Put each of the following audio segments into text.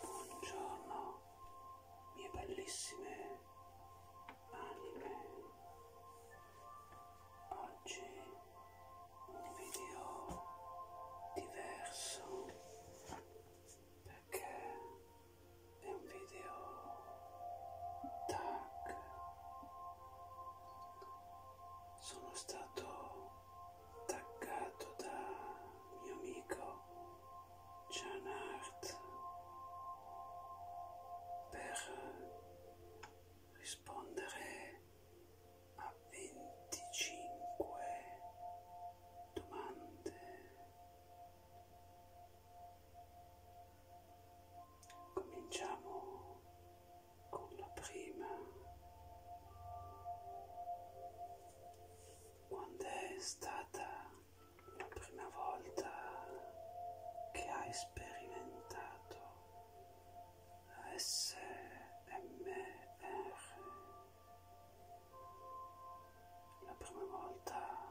Buongiorno, mie bellissime anime. Oggi un video diverso perché è un video tag. Sono stato attaccato da mio amico John Hart per rispondere a 25 domande. Cominciamo con la prima. Quando è stata la prima volta che hai sperimentato SMR? La prima volta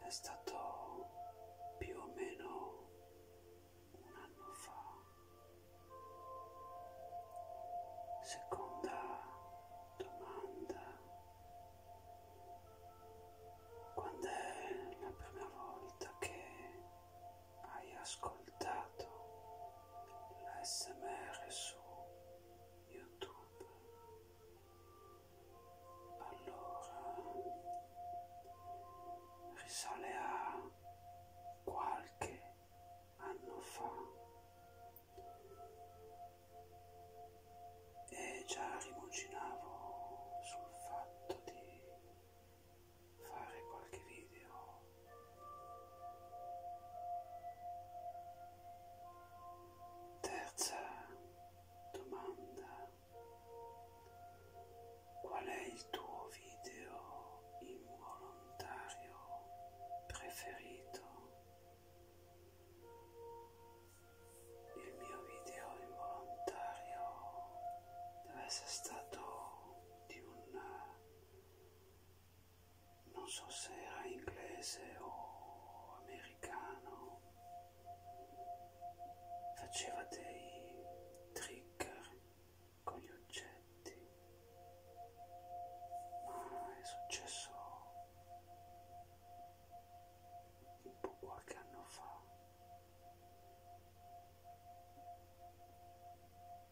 è stato più o meno un anno fa. Seconda domanda. Quando è la prima volta che hai ascoltato l'ASMR su YouTube? Allora risale a qualche anno fa e già rimuginavo sul fatto di fare qualche video terza domanda qual è il tuo video involontario volontario preferito. Il mio video involontario deve essere stato di un... non so se era inglese o americano, faceva dei trigger con gli oggetti aspetti, ma è successo un po' qualche anno fa,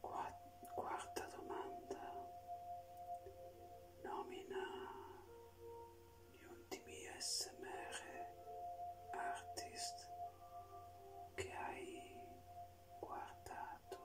Qua quarta domanda, nomina gli ultimi smr artist che hai guardato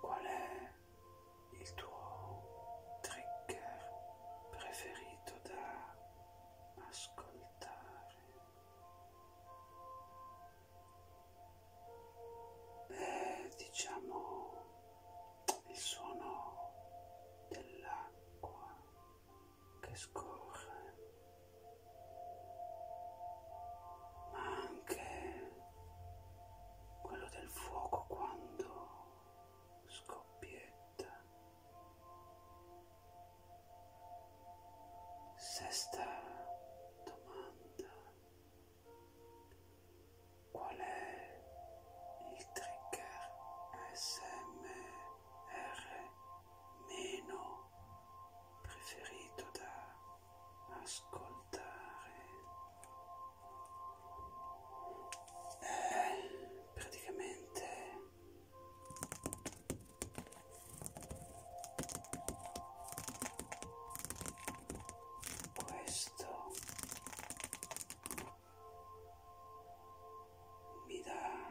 Qual è il tuo trigger preferito da ascoltare? È, diciamo, il suono dell'acqua che scorre, ma anche quello del fuoco quando scoppietta. Sesta domanda. Qual è il trigger ASMR meno preferito da ascoltare eh, praticamente questo mi dà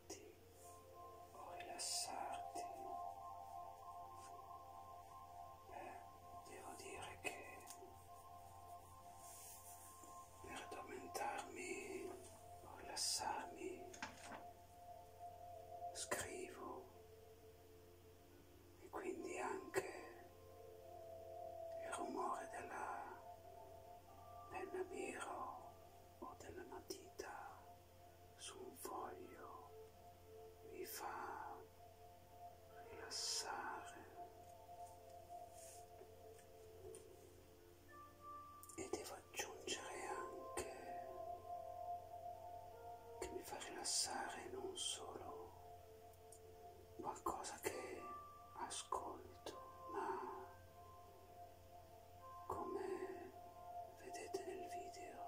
rilassarti o rilassarti. Beh, devo dire che per addormentarmi o rilassarmi scrivo e quindi anche il rumore della penna biro o della matita su un foglio vi fa rilassare e devo aggiungere anche che mi fa rilassare non solo qualcosa che ascolto ma come vedete nel video,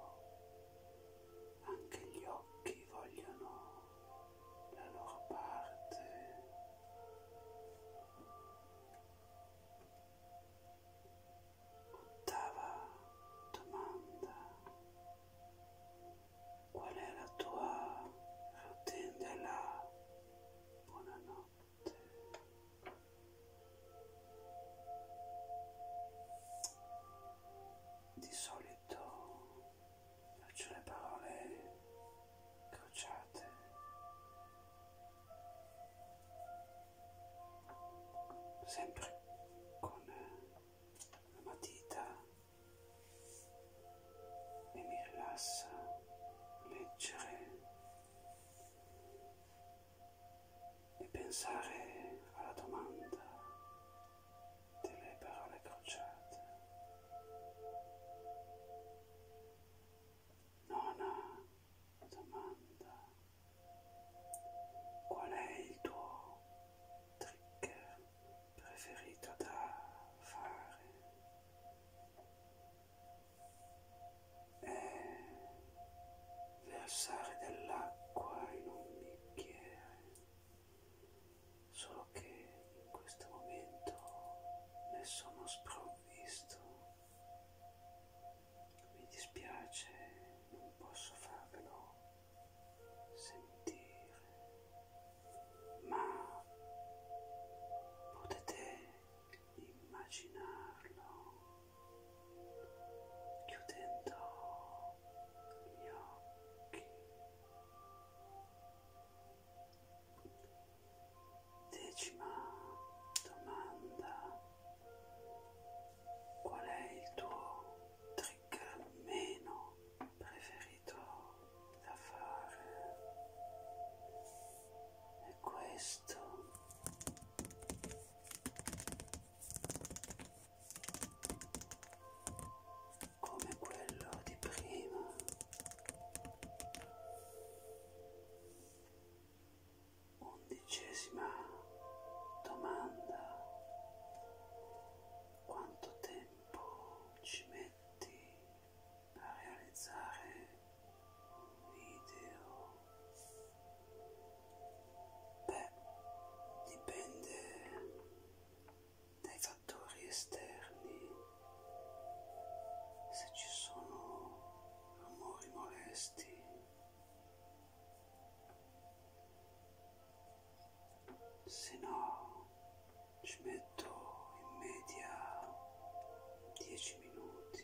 anche gli occhi vogliono la loro parte. Ottava domanda. Qual è la tua routine della buonanotte? Di solito faccio le parole crociate. Sempre con la matita e mi rilassa leggere e pensare alla domanda delle parole crociate. Nona domanda. Qual è il tuo trigger preferito da fare? è eh, versare dell'acqua in un bicchiere, solo che in questo momento ne sono sprovvisto. Mi dispiace, non posso farvelo sentire, ma potete immaginarlo chiudendo gli occhi decima domanda qual è il tuo trigger meno preferito da fare e questo come quello di prima undicesima domanda quanto tempo ci metti a realizzare video beh dipende dai fattori esterni se ci sono rumori molesti se no ci metto in media 10 minuti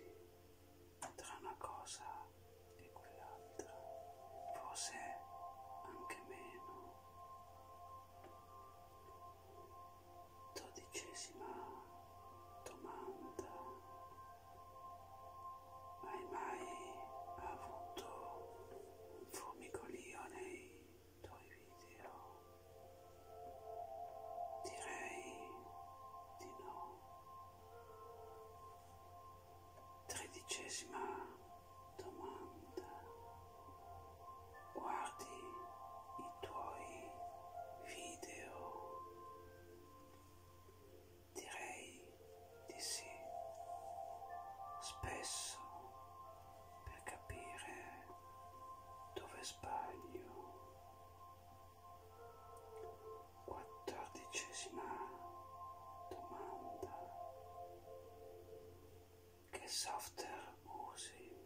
tra una cosa e quell'altra, forse anche meno. Dodicesima domanda. Hai mai avuto un formicolio nei tuoi video? Direi di no. Tredicesima domanda. Guardi i tuoi video. Direi di sì. Spesso per capire dove sbaglio Quattordicesima domanda. Che software usi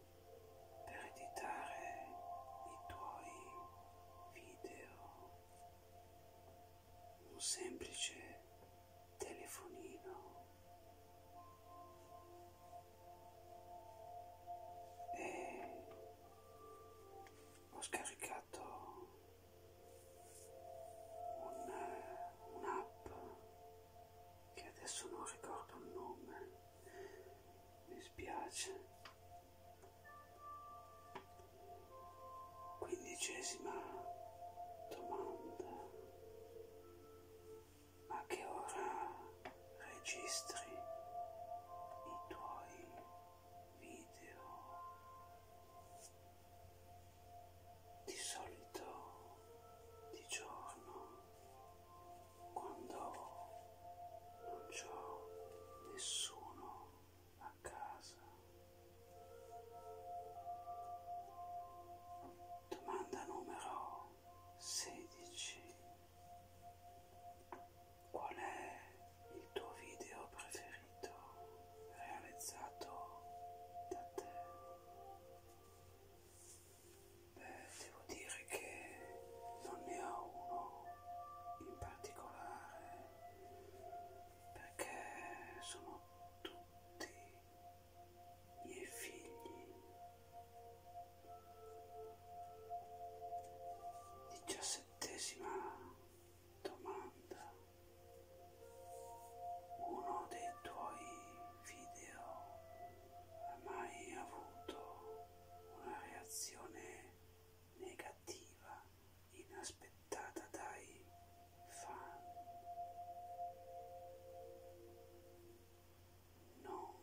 per editare i tuoi video? Un semplice telefonino. E ho scaricato scaricato eh, un'app un che adesso non ricordo il nome, mi spiace. Quindicesima domanda. A che ora registri i tuoi video? Di solito di giorno, quando non c'ho nessuno a casa. Domanda numero sedici. Qual è il tuo video preferito realizzato da te? Beh, devo dire che non ne ho uno in particolare perché sono tutti miei figli. 17 domanda uno dei tuoi video ha mai avuto una reazione negativa inaspettata dai fan no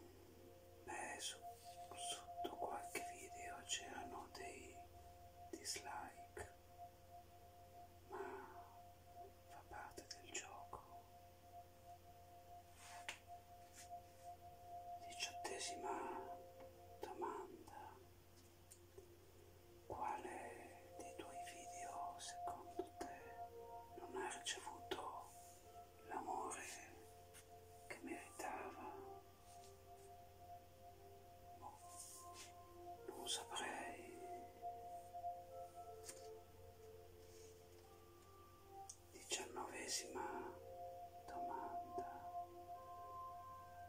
beh su, sotto qualche video c'erano dei dislike trick, ma fa parte del gioco. Diciottesima domanda. Quale dei tuoi video secondo te non ha ricevuto l'amore che meritava? Bon. Non saprei. Diciannovesima domanda.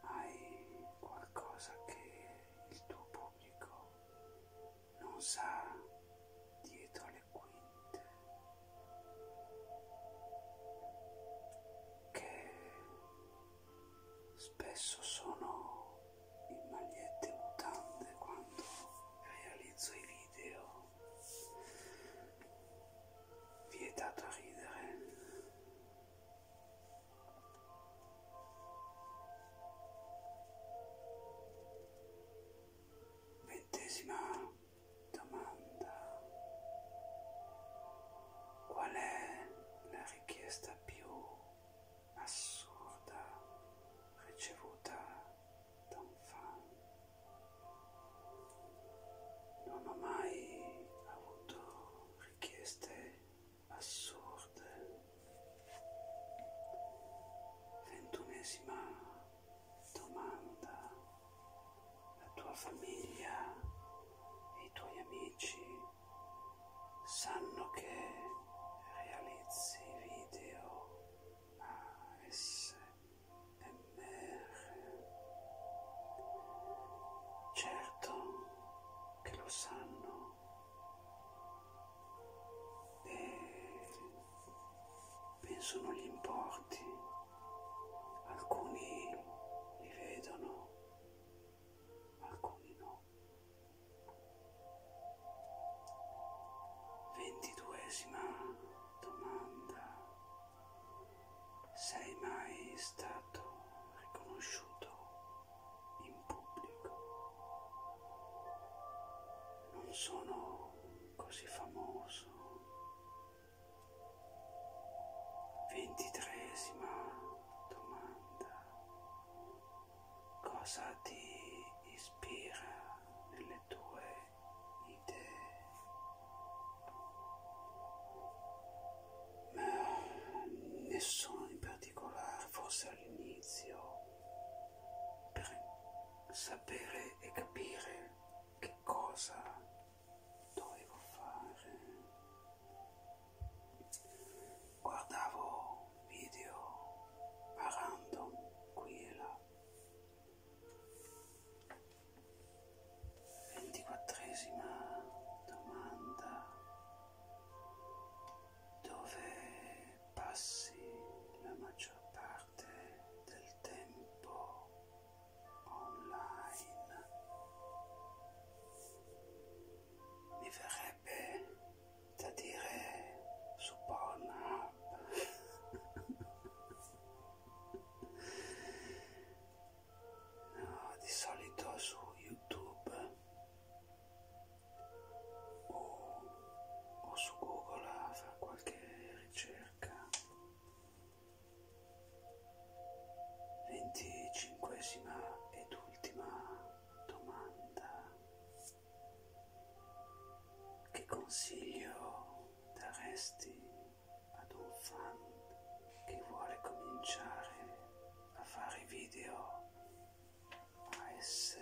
Hai qualcosa che il tuo pubblico non sa dietro le quinte? Che Spesso sono in magliette e mutande quando realizzo i video. Vietato a ridere. Ventesima domanda. Qual è la richiesta più assurda ricevuta da un fan? Non ho mai avuto richieste assurde. Ventunesima domanda. La tua famiglia e i tuoi amici sanno che realizzi video ASMR. Certo che lo sanno. E penso non gli importi. Alcuni li vedono alcuni no. Ventiduesima domanda. Sei mai stato riconosciuto in pubblico? Non sono così famoso. Ventitresima domanda, cosa ti ispira nelle tue idee? Ma nessuno in particolare, forse all'inizio, per sapere e capire che cosa dovevo fare guardavo video a random qui e là. Ventiquattresima domanda. Dove passi la maggior parte del tempo online? mi verrebbe da dire su Pornhub no, di solito su YouTube o, o su Google a fare qualche ricerca venticinquesima ed ultima domanda. Che consiglio daresti ad un fan che vuole cominciare a fare video ASMR?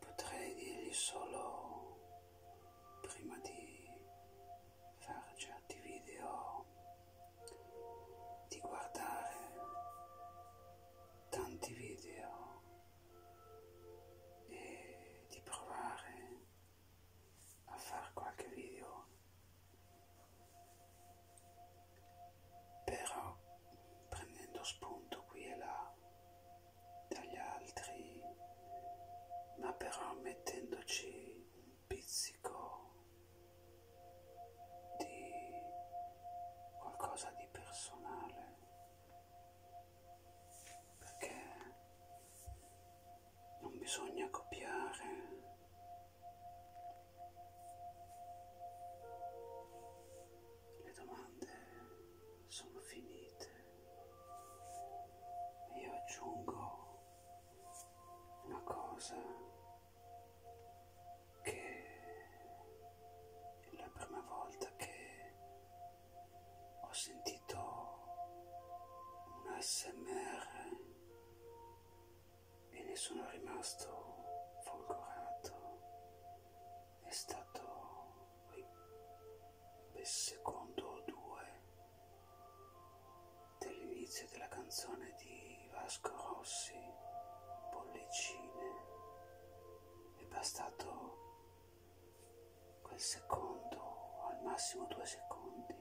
Potrei dirgli solo prima di fare certi video, di guardare tanti video e di provare a fare qualche video però prendendo spunto qui e là dagli altri ma però mettendoci un pizzico di qualcosa di personale perché non bisogna copiare le domande sono finite e io aggiungo una cosa che la prima volta che ho sentito un ASMR e ne sono rimasto folgorato è stato il secondo o due dell'inizio della canzone di Vasco Rossi, Bollicine, è bastato quel secondo, o al massimo due secondi,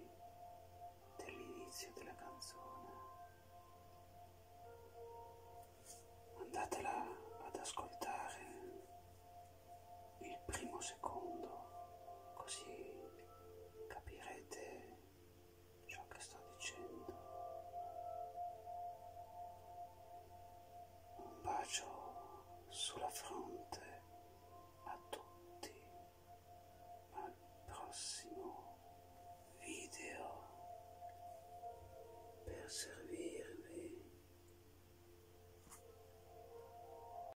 dell'inizio della canzone. Andatela ad ascoltare il primo secondo, così capirete ciò che sto dicendo. Un bacio sulla fronte a tutti, al prossimo video per servirvi.